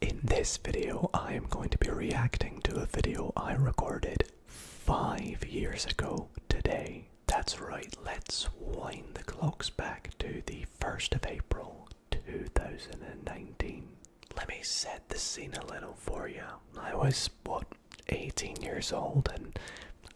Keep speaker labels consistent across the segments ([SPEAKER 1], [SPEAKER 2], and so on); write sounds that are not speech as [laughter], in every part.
[SPEAKER 1] In this video, I am going to be reacting to a video I recorded five years ago today. That's right, let's wind the clocks back to the 1st of April 2019. Let me set the scene a little for you. I was, what, 18 years old and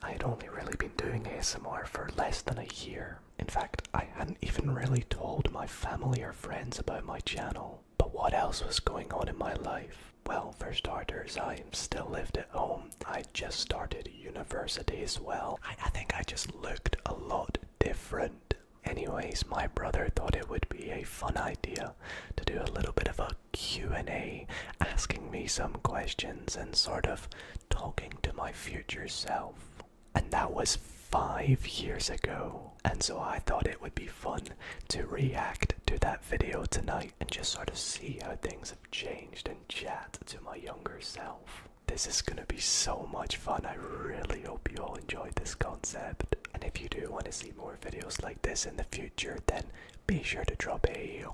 [SPEAKER 1] i had only really been doing ASMR for less than a year. In fact, I hadn't even really told my family or friends about my channel. But what else was going on in my life? Well, for starters, I still lived at home. I just started university as well. I think I just looked a lot different. Anyways, my brother thought it would be a fun idea to do a little bit of a Q&A, asking me some questions and sort of talking to my future self and that was five years ago. And so I thought it would be fun to react to that video tonight and just sort of see how things have changed and chat to my younger self. This is gonna be so much fun. I really hope you all enjoyed this concept. And if you do want to see more videos like this in the future, then be sure to drop a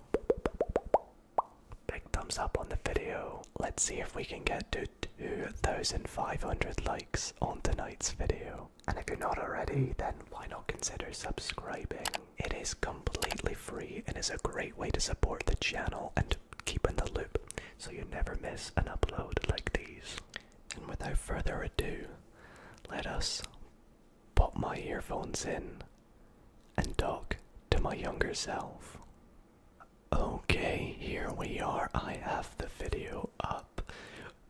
[SPEAKER 1] big thumbs up on the video. Let's see if we can get to 2,500 likes on tonight's video. And if you're not already, then why not consider subscribing? It is completely free and is a great way to support the channel and keep in the loop so you never miss an upload like these. And without further ado, let us pop my earphones in and talk to my younger self. Okay, here we are. I have the video up.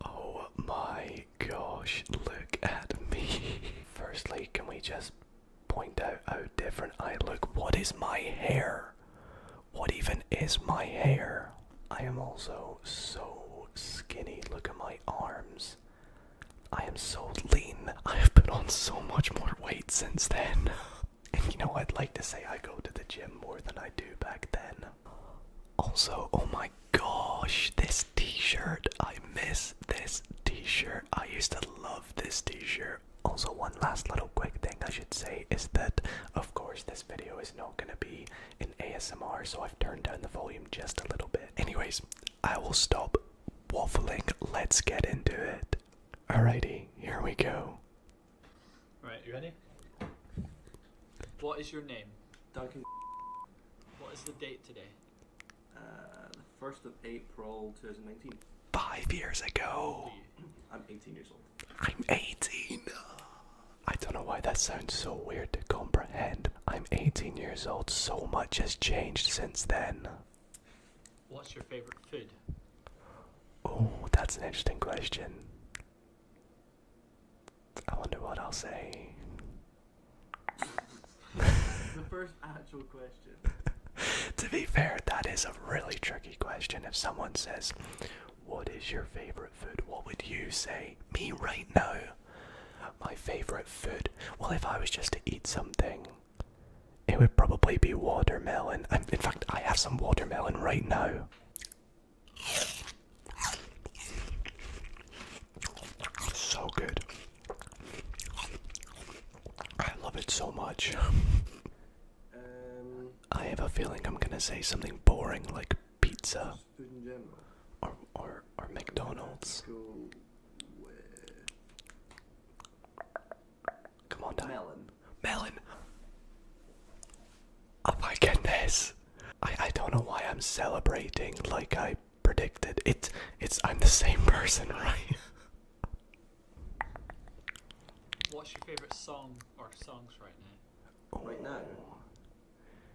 [SPEAKER 1] Oh my gosh, look at me. [laughs] Firstly, can we just point out how different I look? What is my hair? What even is my hair? I am also so skinny. Look at my arms. I am so lean. I have put on so much more weight since then. [laughs] And you know, I'd like to say I go to the gym more than I do back then. Also, oh my gosh, this t shirt. I miss this t shirt. I used to love this t shirt. Also, one last little quick thing I should say is that, of course, this video is not going to be an ASMR, so I've turned down the volume just a little bit. Anyways, I will stop waffling. Let's get into it. Alrighty, here we go. Right, you ready? What is your name? Duncan.
[SPEAKER 2] What is the date today? Uh, the 1st of April 2019.
[SPEAKER 1] Five years ago. I'm 18 years old. I'm 18. I don't know why that sounds so weird to comprehend. I'm 18 years old, so much has changed since then. What's your favorite food? Oh, that's an interesting question. I wonder what I'll say. the first actual question. [laughs] to be fair, that is a really tricky question. If someone says, What is your favorite food? What would you say? Me right now? My favorite food? Well, if I was just to eat something, it would probably be watermelon. Um, in fact, I have some watermelon right now. So good. I love it so much. I have a feeling I'm gonna say something boring like pizza or, or, or McDonald's. Come on, Dad. Melon. Melon. Oh my goodness. I I don't know why I'm celebrating like I predicted. It it's I'm the same person, [laughs] right? What's your favorite
[SPEAKER 2] song or songs right now? Right now.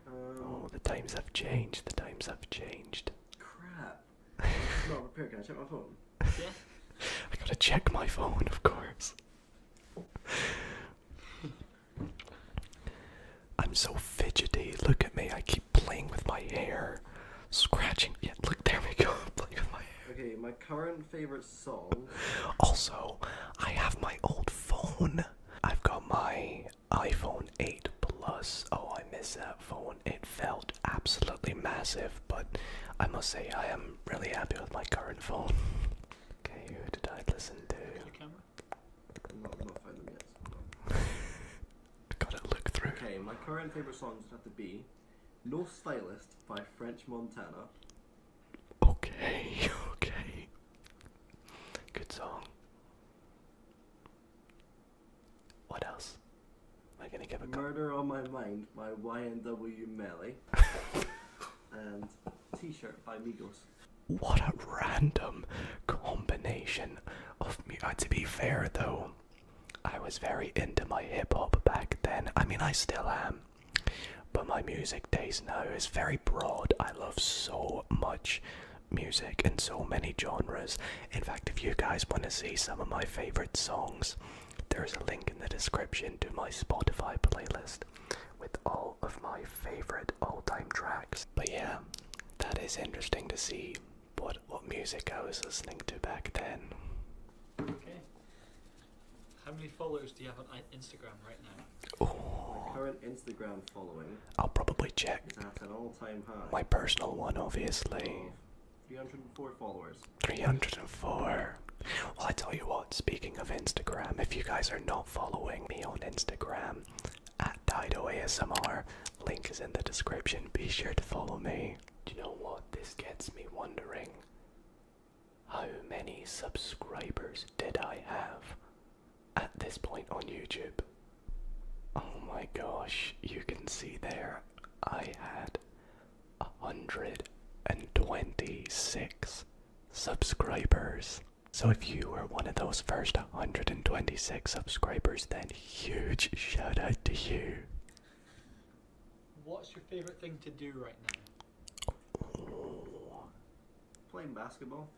[SPEAKER 1] Um, oh, the times have changed. The times have changed. Crap. I gotta check my phone, of course. I'm so fidgety. Look at me. I keep playing with my hair, scratching. Yeah, look, there we go. [laughs] playing with my hair. Okay, my current favorite song. Also, I have my old phone. I've got my iPhone 8 Plus. Oh, I miss that phone. It felt absolutely massive, but I must say I am really happy with my current phone. Okay, who did I listen to?
[SPEAKER 2] [laughs] Gotta look through. Okay, my current favorite songs have to be North Stylist by French Montana. Okay, [laughs] okay. Good song. What else? Am I gonna give a murder on my mind by YNW Melly [laughs] and
[SPEAKER 1] T-shirt by Migos. What a random combination of me. Uh, to be fair though, I was very into my hip hop back then. I mean, I still am. But my music taste now is very broad. I love so much music and so many genres. In fact, if you guys want to see some of my favorite songs, there's a link in the description to my Spotify playlist with all of my favorite all-time tracks. But yeah, that is interesting to see what what music I was listening to back then.
[SPEAKER 2] Okay. How many followers do you have on Instagram right now? My Current Instagram following. I'll probably check. Is an all-time
[SPEAKER 1] high. My personal one, obviously.
[SPEAKER 2] 304 followers.
[SPEAKER 1] 304. Well, I tell you what, speaking of Instagram, if you guys are not following me on Instagram, at Dido ASMR, link is in the description. Be sure to follow me. Do you know what? This gets me wondering how many subscribers did I have at this point on YouTube? Oh my gosh, you can see there I had 126 subscribers. So if you were one of those first 126 subscribers, then huge shout out to you. What's
[SPEAKER 2] your favorite thing to do right now? Playing basketball.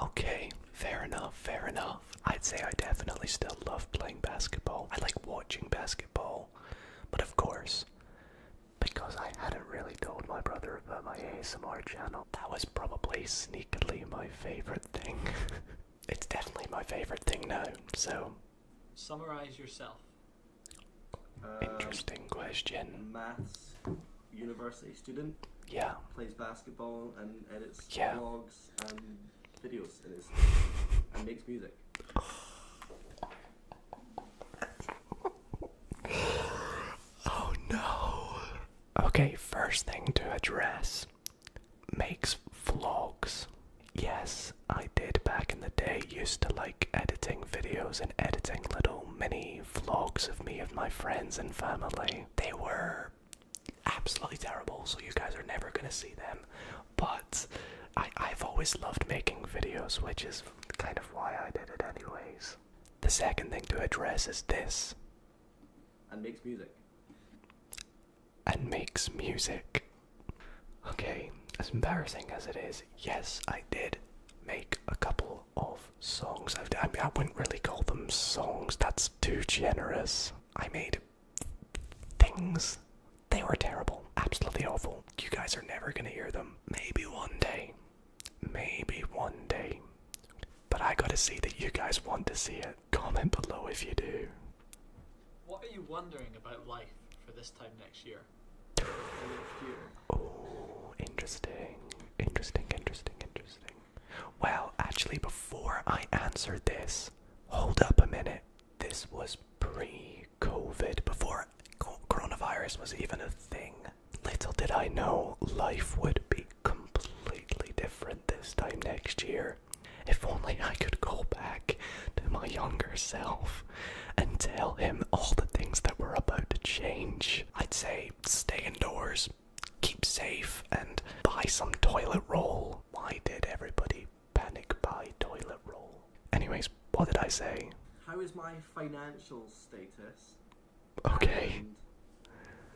[SPEAKER 1] Okay, fair enough, fair enough. I'd say I definitely still love playing basketball. I like watching basketball. But of course, because I hadn't really told my brother about my ASMR channel, that was probably sneakily my favorite thing. [laughs] it's definitely my favorite thing now, so. Summarize yourself.
[SPEAKER 2] Uh, Interesting question. Maths, university student. Yeah. Plays basketball and edits yeah. blogs and videos and, makes music.
[SPEAKER 1] oh no. Okay, first thing to address makes vlogs. Yes, I did back in the day used to like editing videos and editing little mini vlogs of me of my friends and family. They were absolutely terrible, so you guys are never gonna see them. But I, have always loved making videos, which is kind of why I did it, anyways. The second thing to address is this. And makes music. And makes music. Okay, as embarrassing as it is, yes, I did make a couple of songs. I, I I wouldn't really call them songs, that's too generous. I made things. They were terrible, absolutely awful. You guys are never gonna hear them. Maybe one day. Maybe one day. But I gotta see that you guys want to see it. Comment below if you do. What are
[SPEAKER 2] you wondering about life for this time next year?
[SPEAKER 1] Oh, interesting. Interesting, interesting, interesting. Well, actually, before I answer this, hold up a minute. This was pre COVID, before coronavirus was even a thing. Little did I know life would be completely different this time next year. If only I could go back to my younger self and tell him all the things that were about to change. I'd say stay indoors, keep safe and buy some toilet roll. Why did everybody
[SPEAKER 2] panic buy toilet roll? Anyways, what did I say? How is my financial status? Okay.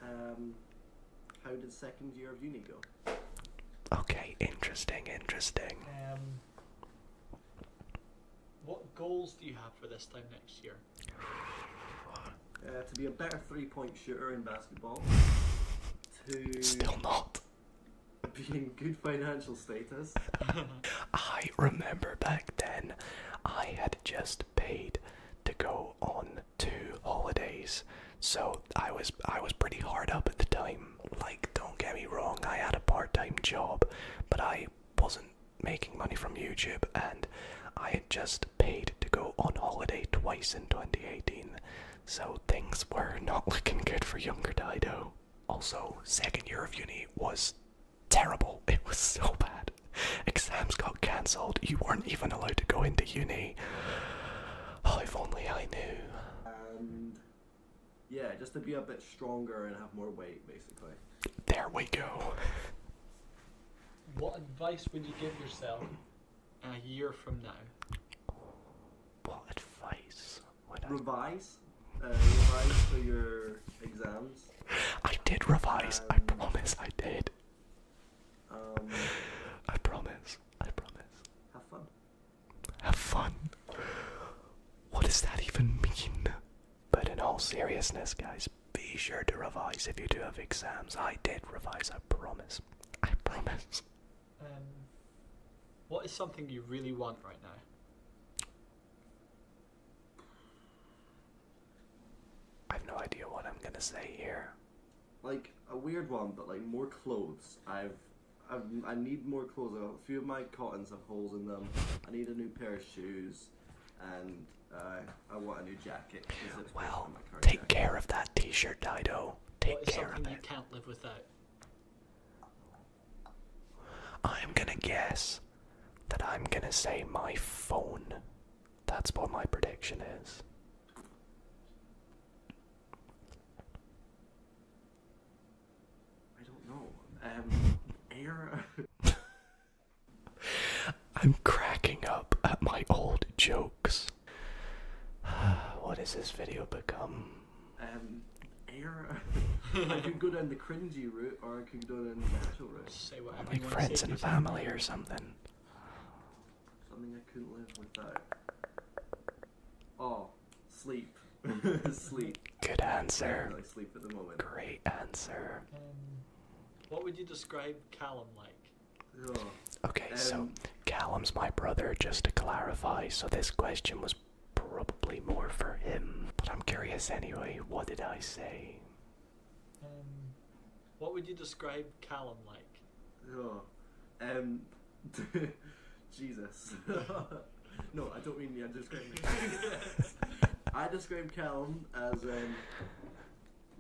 [SPEAKER 2] um, how did second year of uni go? Okay, interesting, interesting. Um, what goals do you have for this time next year? Uh, to be a better three-point shooter in basketball. To Still
[SPEAKER 1] not. Being good financial status. [laughs] I remember back then, I had just paid to go on two holidays, so I was I was pretty hard up at the time. Like, don't get me wrong, I had a part-time job, but I wasn't making money from YouTube, and I had just paid to go on holiday twice in 2018, so things were [laughs] not looking good for younger Dido. Also, second year of uni was terrible. [laughs] It was so bad. Exams got cancelled. You weren't even allowed to go into uni. [sighs] if only I knew.
[SPEAKER 2] Um, yeah, just to be a bit stronger and have more weight, basically. There we go. What advice would you give yourself a year from now? What advice would I Revise. Uh, revise for your exams. I did revise. I um, promise I did.
[SPEAKER 1] Um, I promise. I promise. Have fun. Have fun. What does that even mean? But in all seriousness, guys, be sure to revise if you do have exams. I did revise, I promise. I promise.
[SPEAKER 2] Um, what is something you really want
[SPEAKER 1] right now? I've no idea what I'm gonna say here.
[SPEAKER 2] Like a weird one, but like more clothes. I've, I've I need more clothes. A few of my cottons have holes in them. I need a new pair of shoes, and uh, I want a new jacket. Well,
[SPEAKER 1] take care of that T-shirt, Dido. Take care of it. I'm gonna guess that I'm gonna say my phone. That's what my prediction is. I don't know. Um, air. [laughs] I'm cracking up at my old jokes. [sighs] what has this video become? Um, error. [laughs] I could go down the cringy
[SPEAKER 2] route, or I could go down the natural route. Say whatever like friends and family or something. Something I couldn't live without. Oh, sleep. [laughs] sleep.
[SPEAKER 1] Good answer. Great answer. Um,
[SPEAKER 2] what would you describe Callum like?
[SPEAKER 1] Okay, so um, Callum's my brother, just to clarify, so this question was probably more for him. But I'm curious anyway, what did I say?
[SPEAKER 2] Um, what would you describe Callum like? Oh, um, [laughs] Jesus. [laughs] no, I don't mean the describing. [laughs] I describe Callum as um,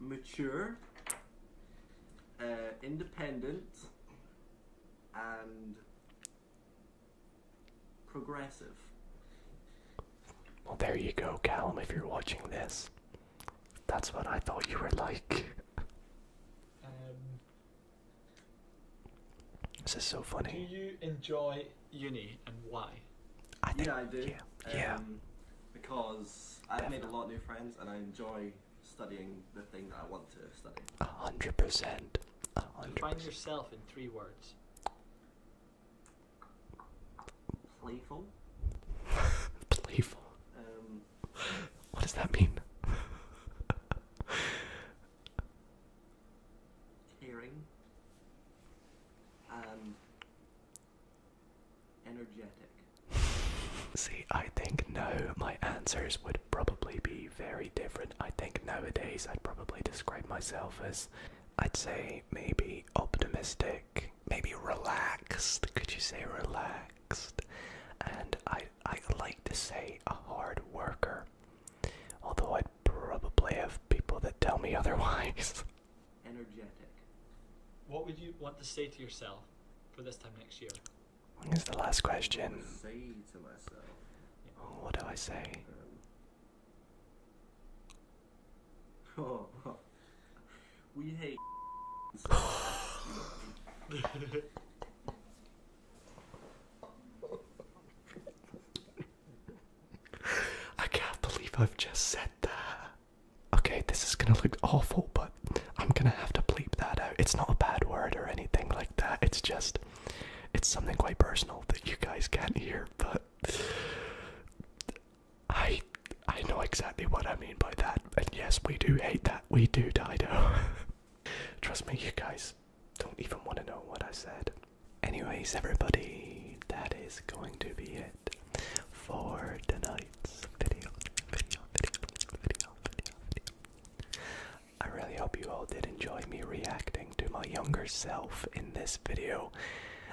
[SPEAKER 2] mature, uh, independent, and progressive. Well, there you go, Callum, if you're watching this. That's what I thought you were like. Um, this is so funny. Do you enjoy uni and why? yeah, I do. Um, yeah. because I've made a lot of new friends and I enjoy studying the thing that I want to study. A hundred percent. find yourself in three words. Playful. Playful. Um, what does that mean? caring um, energetic?
[SPEAKER 1] See, I think no. My answers would probably be very different. I think nowadays I'd probably describe myself as, I'd say maybe optimistic, maybe relaxed. Could you say relaxed? And I I like to say a hard
[SPEAKER 2] worker. Although i probably have people that tell me [laughs] otherwise. Energetic. What would you want to say to yourself for this time next year? When is the last question? Say to myself. Oh, what do I say? Um, [laughs] oh, oh. we hate. [laughs]
[SPEAKER 1] I can't believe I've just said that. Okay, this is gonna look awful, but I'm gonna have to bleep that out. It's not a bad word or anything like that. It's just, it's something quite personal that you guys can't hear, but I, I know exactly what I mean by that. And yes, we do hate that. We do, Dido. [laughs] Trust me, you guys, don't even want to know what I said. Anyways, everybody, that is going to be it for tonight's video. I really hope you all did enjoy me reacting to my younger self in this video.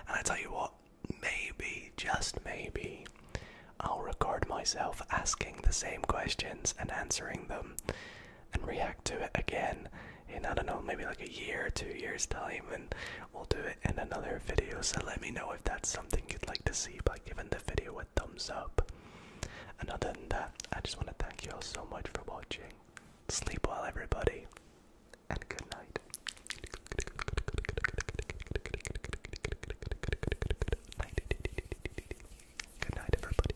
[SPEAKER 1] And I tell you what, maybe, just maybe, I'll record myself asking the same questions and answering them and react to it again in I don't know, maybe like a year, two years time, and we'll do it in another video. So let me know if that's something you'd like to see by giving the video a thumbs up. And other than that, I just want to thank you all so much for watching. Sleep well, everybody, and good night. Good night, everybody.